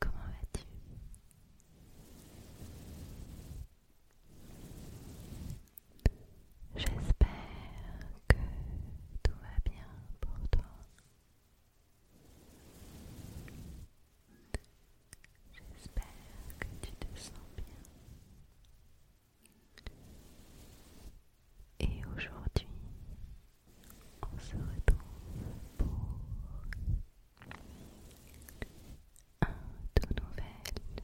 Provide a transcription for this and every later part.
Comment vas-tu J'espère que tout va bien pour toi. J'espère que tu te sens bien. Et aujourd'hui, on se retrouve pour un tout nouvel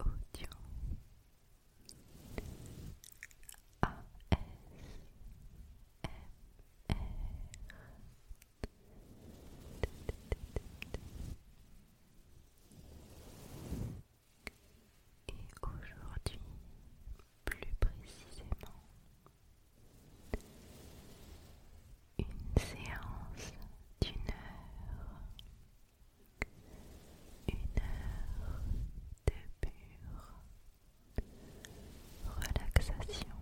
audio et aujourd'hui, plus précisément, une séance d'une heure, une heure de pure relaxation.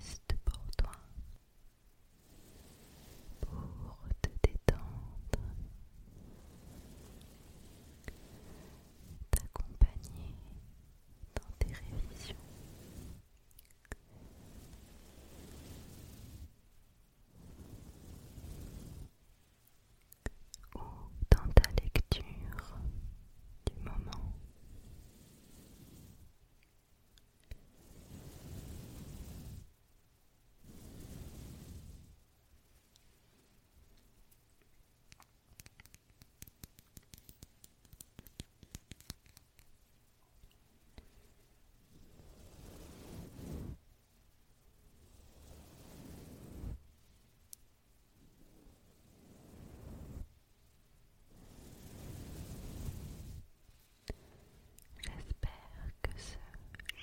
Juste pour toi, pour te détendre, t'accompagner dans tes révisions ou dans ta lecture du moment. J'espère que ce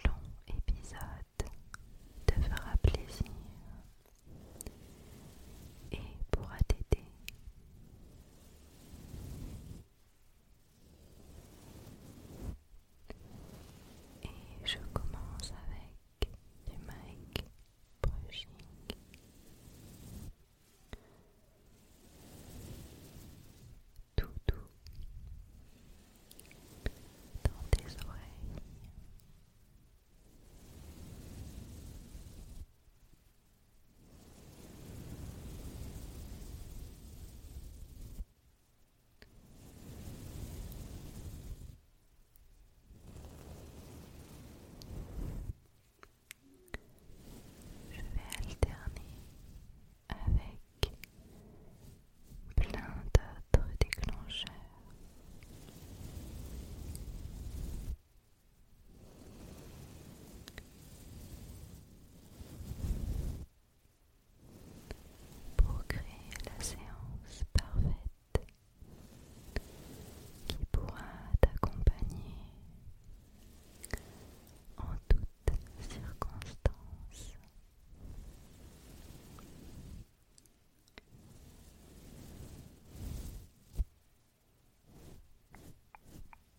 long épisode te fera plaisir et pourra t'aider. Et je commence avec du mic brushing. Tout doux dans tes oreilles. Je vais alterner avec plein d'autres déclencheurs pour créer la séance parfaite qui pourra t'accompagner en toutes circonstances.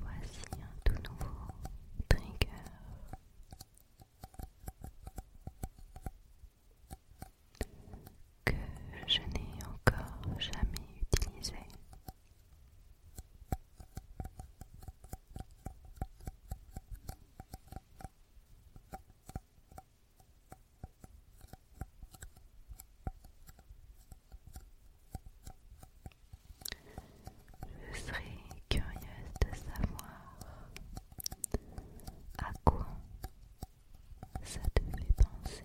Voici un tout nouveau trigger que je n'ai encore jamais utilisé. Je serais curieuse de savoir à quoi ça te fait penser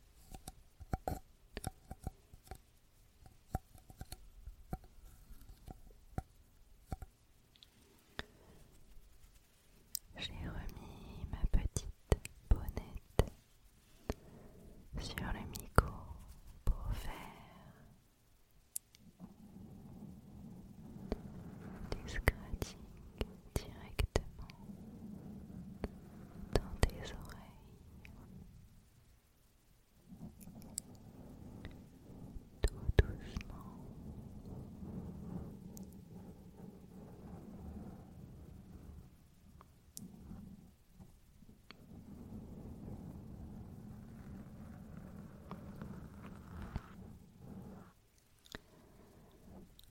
J'ai remis ma petite bonnette sur le micro pour faire des scratchings directement dans tes oreilles. Tout doucement.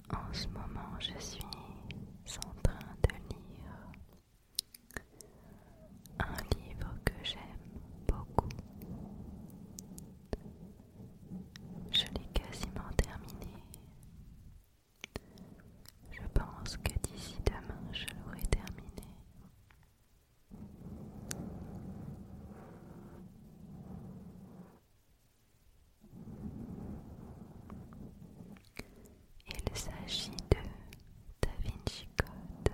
En ce moment, je suis en train de lire un livre que j'aime beaucoup. Je l'ai quasiment terminé. Je pense que d'ici demain, je l'aurai terminé. Il s'agit de Da Vinci Code.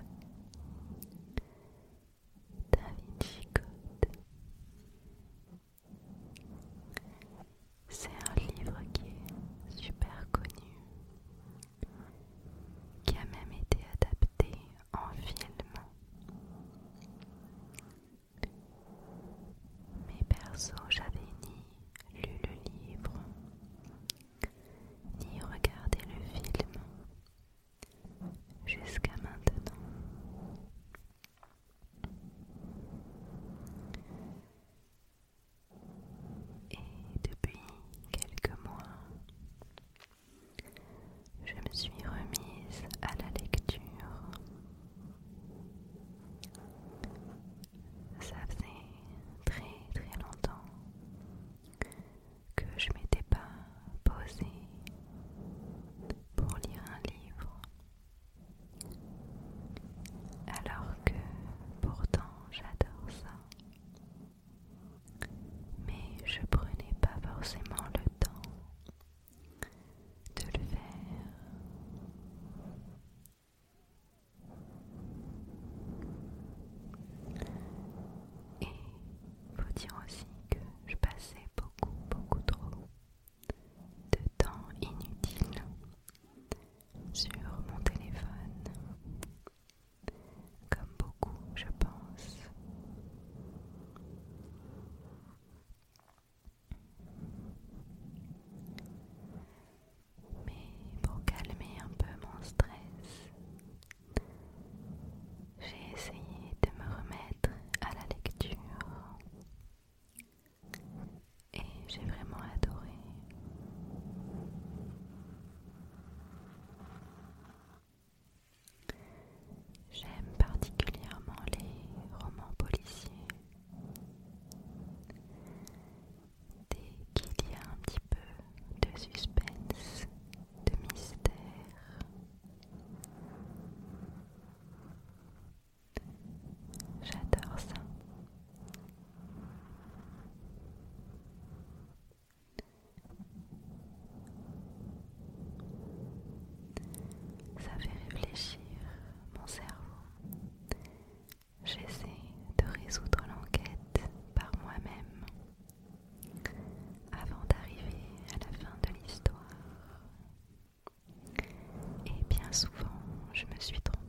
Da Vinci Code. C'est un livre qui est super connu, qui a même été adapté en film. Mais perso, j'avais ni lu le livre, ni regardé le film jusqu'à maintenant. Et depuis quelques mois, je me suis remise à la lecture ça faisait très très longtemps que je m'étais pas posée pour lire un livre alors que pourtant j'adore ça mais je prenais pas forcément le temps de le faire et il faut dire aussi que je passais beaucoup, beaucoup trop de temps inutile sur mon téléphone. Comme beaucoup, je pense. Mais pour calmer un peu mon stress, j'ai essayé de me remettre à la lecture et j'ai vraiment adoré. J'aime particulièrement les romans policiers Dès qu'il y a un petit peu de suspense, de mystère, j'adore ça. Ça fait réfléchir mon cerveau j'essaie de résoudre l'enquête par moi-même avant d'arriver à la fin de l'histoire. Et bien souvent, je me suis trompée.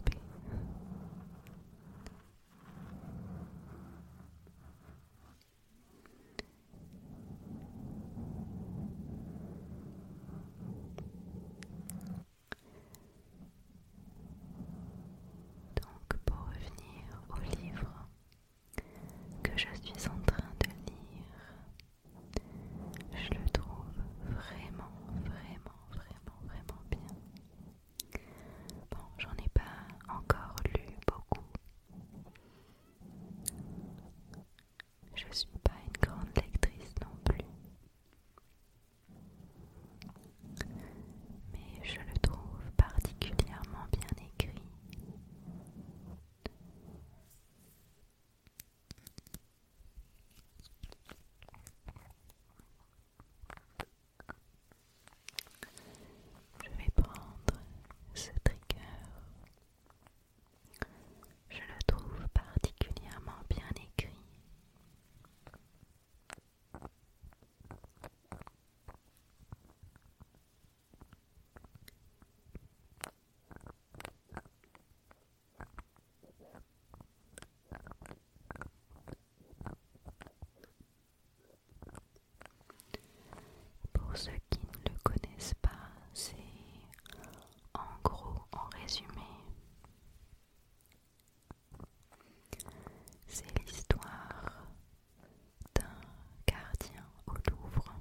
Donc pour revenir au livre que je suis en train de lire, je le trouve vraiment, vraiment, vraiment, vraiment bien. Bon, j'en ai pas encore lu beaucoup. Je suis pas une grande lectrice non plus mais je le trouve particulièrement bien écrit. Je vais prendre ce trigger. Je le trouve particulièrement bien écrit. Pour ceux qui ne le connaissent pas, c'est en gros, en résumé, c'est l'histoire d'un gardien au Louvre.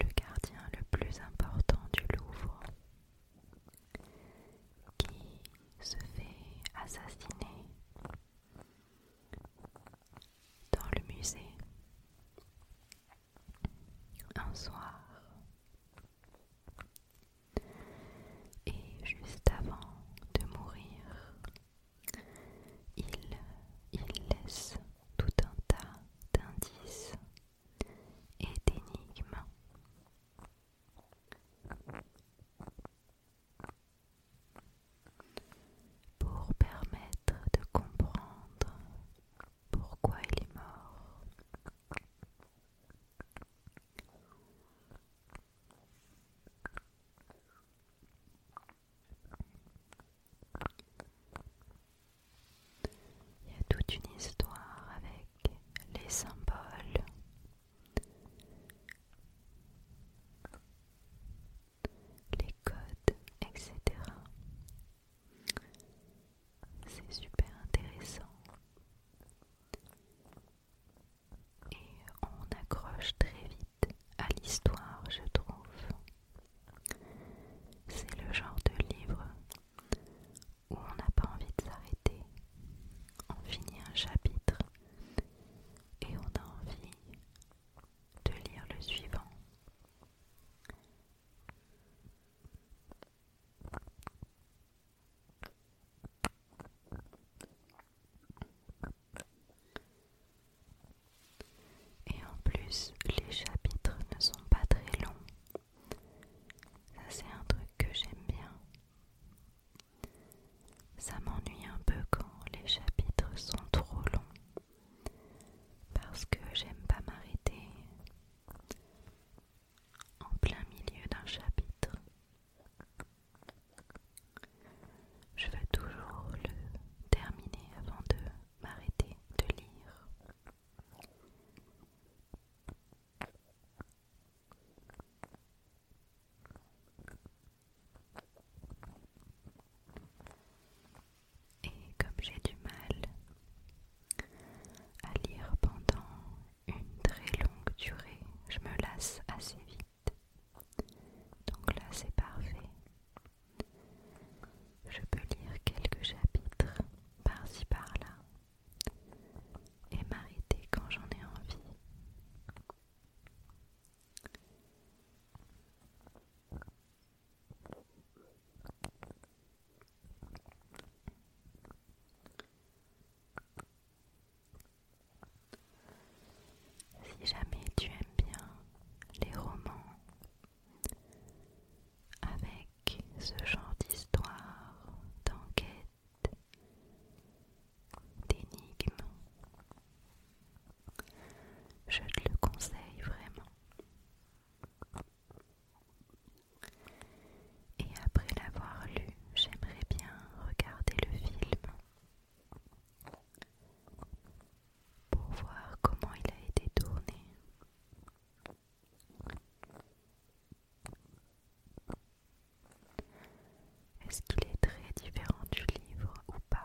Le gardien le plus important du Louvre qui se fait assassiner dans le musée un soir. Et juste avant de mourir, il, laisse tout un tas d'indices et d'énigmes. Pour permettre de comprendre pourquoi il est mort, il y a toute une histoire avec les symboles. Les codes, etc c'est super intéressant. Et on accroche très vite à l'histoire, je trouve. C'est le genre de livre où on n'a pas envie de s'arrêter. On finit un chapitre et on a envie de lire le suivant. Et en plus, les chapitres ne sont pas très longs. Ça c'est un truc que j'aime bien. Ça m'ennuie un peu quand les chapitres sont trop longs. Parce que j'aime pas m'arrêter en plein milieu d'un chapitre. Je vais toujours le terminer avant de m'arrêter de lire. Et comme j'ai du mal à lire pendant une très longue durée, je me lasse assez vite. Donc là, c'est parfait. Je peux lire quelques chapitres par-ci par-là et m'arrêter quand j'en ai envie. Si jamais tu aimes bien les romans avec ce genre d'histoire, d'enquête, d'énigme, je te le conseille vraiment. Et après l'avoir lu, j'aimerais bien regarder le film pour voir comment il a été tourné. Est-ce qu'il est très différent du livre ou pas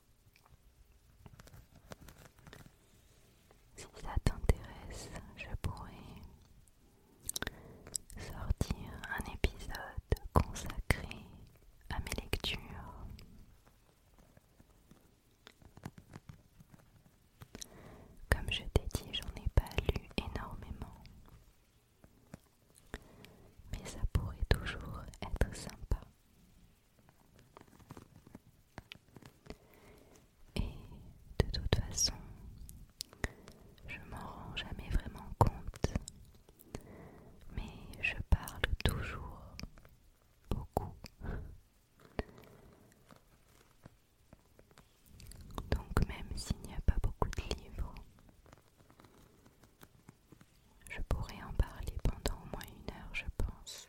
Si ça t'intéresse, je pourrais sortir un épisode consacré à mes lectures. Comme je t'ai dit, j'en ai pas lu énormément. Mais ça pourrait toujours être sympa et de toute façon, je m'en rends jamais vraiment compte, mais je parle toujours beaucoup. Donc même s'il n'y a pas beaucoup de livres, je pourrais en parler pendant au moins une heure, je pense.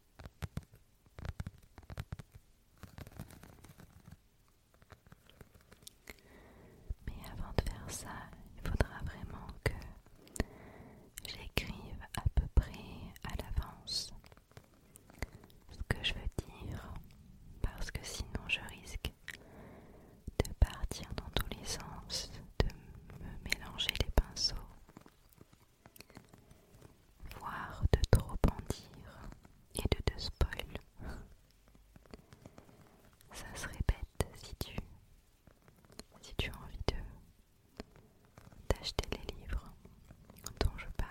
Mais avant de faire ça, il faudra vraiment que j'écrive à peu près à l'avance ce que je veux dire, parce que sinon je risque de partir dans tous les sens, de me mélanger les pinceaux. Voir de trop en dire et de te spoil. Ça se répète si tu, si tu as envie de d'acheter les livres dont je parle.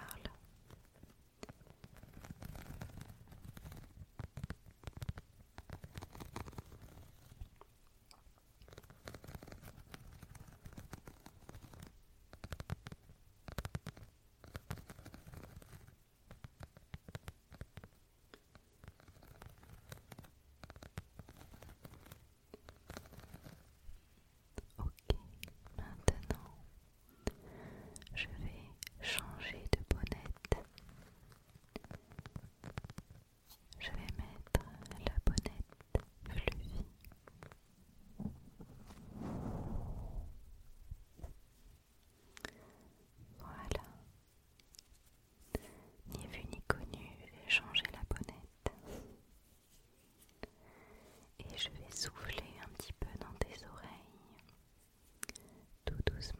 Ok, maintenant je vais changer de bonnette. Je vais mettre la bonnette fluffy. Voilà. Ni vu ni connu, j'ai changer la bonnette. Et je vais souffler un petit peu dans tes oreilles, tout doucement.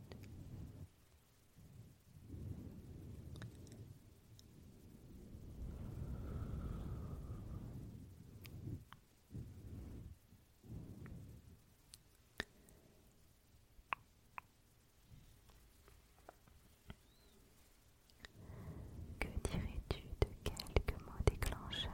Que dirais-tu de quelques mots déclencheurs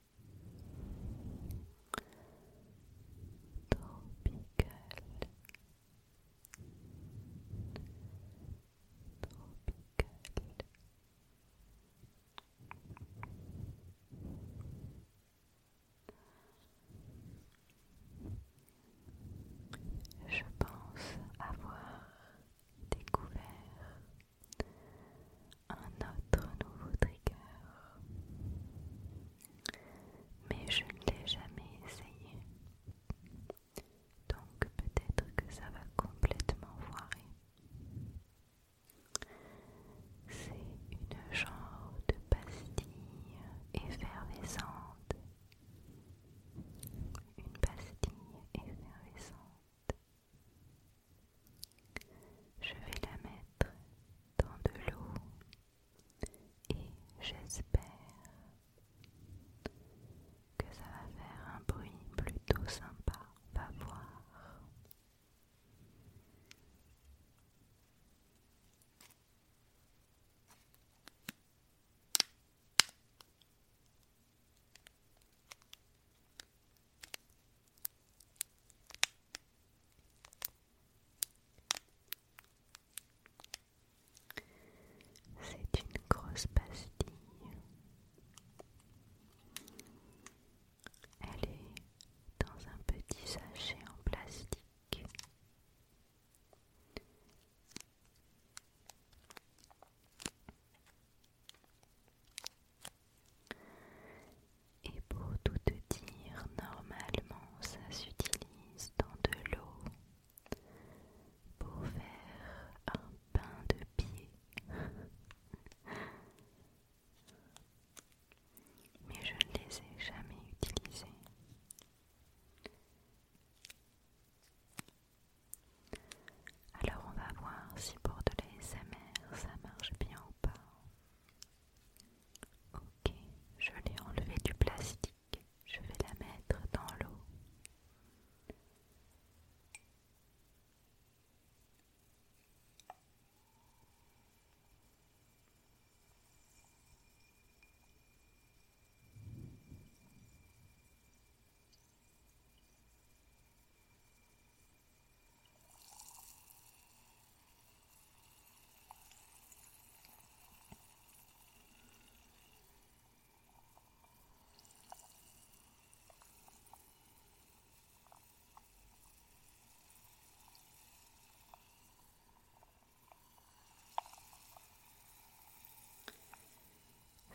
tropical tropical je pense avoir découvert un autre nouveau trigger. Mais je ne l'ai jamais essayé. Donc peut-être que ça va complètement foirer. C'est une genre de pastille effervescente. Une pastille effervescente. Je vais la mettre dans de l'eau et j'espère que ça va faire un bruit plutôt sympa. Va voir. C'est une grosse pastille. Elle est dans un petit sachet en plastique. Et pour tout dire, normalement ça s'utilise dans de l'eau pour faire un pain de pied. Mais je ne les ai jamais utilisés. Alors on va voir si pour de l'SMR ça marche bien ou pas. Ok, je l'ai enlevé du plastique. Je vais la mettre dans l'eau.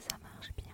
Ça marche bien.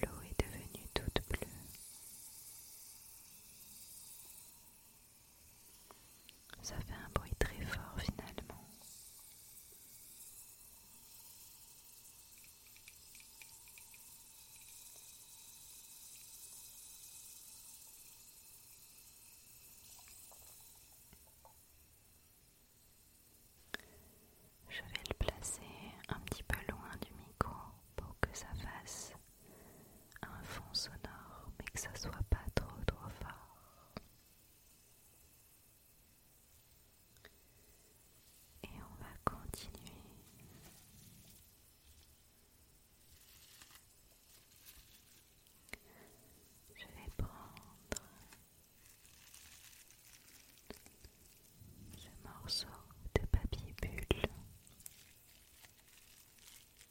L'eau est devenue toute bleue. Ça fait un bruit très fort finalement. Je vais le placer un petit peu loin du micro pour que ça fasse un fond sonore, mais que ça soit pas trop trop fort. Et on va continuer. Je vais prendre ce morceau de papier bulle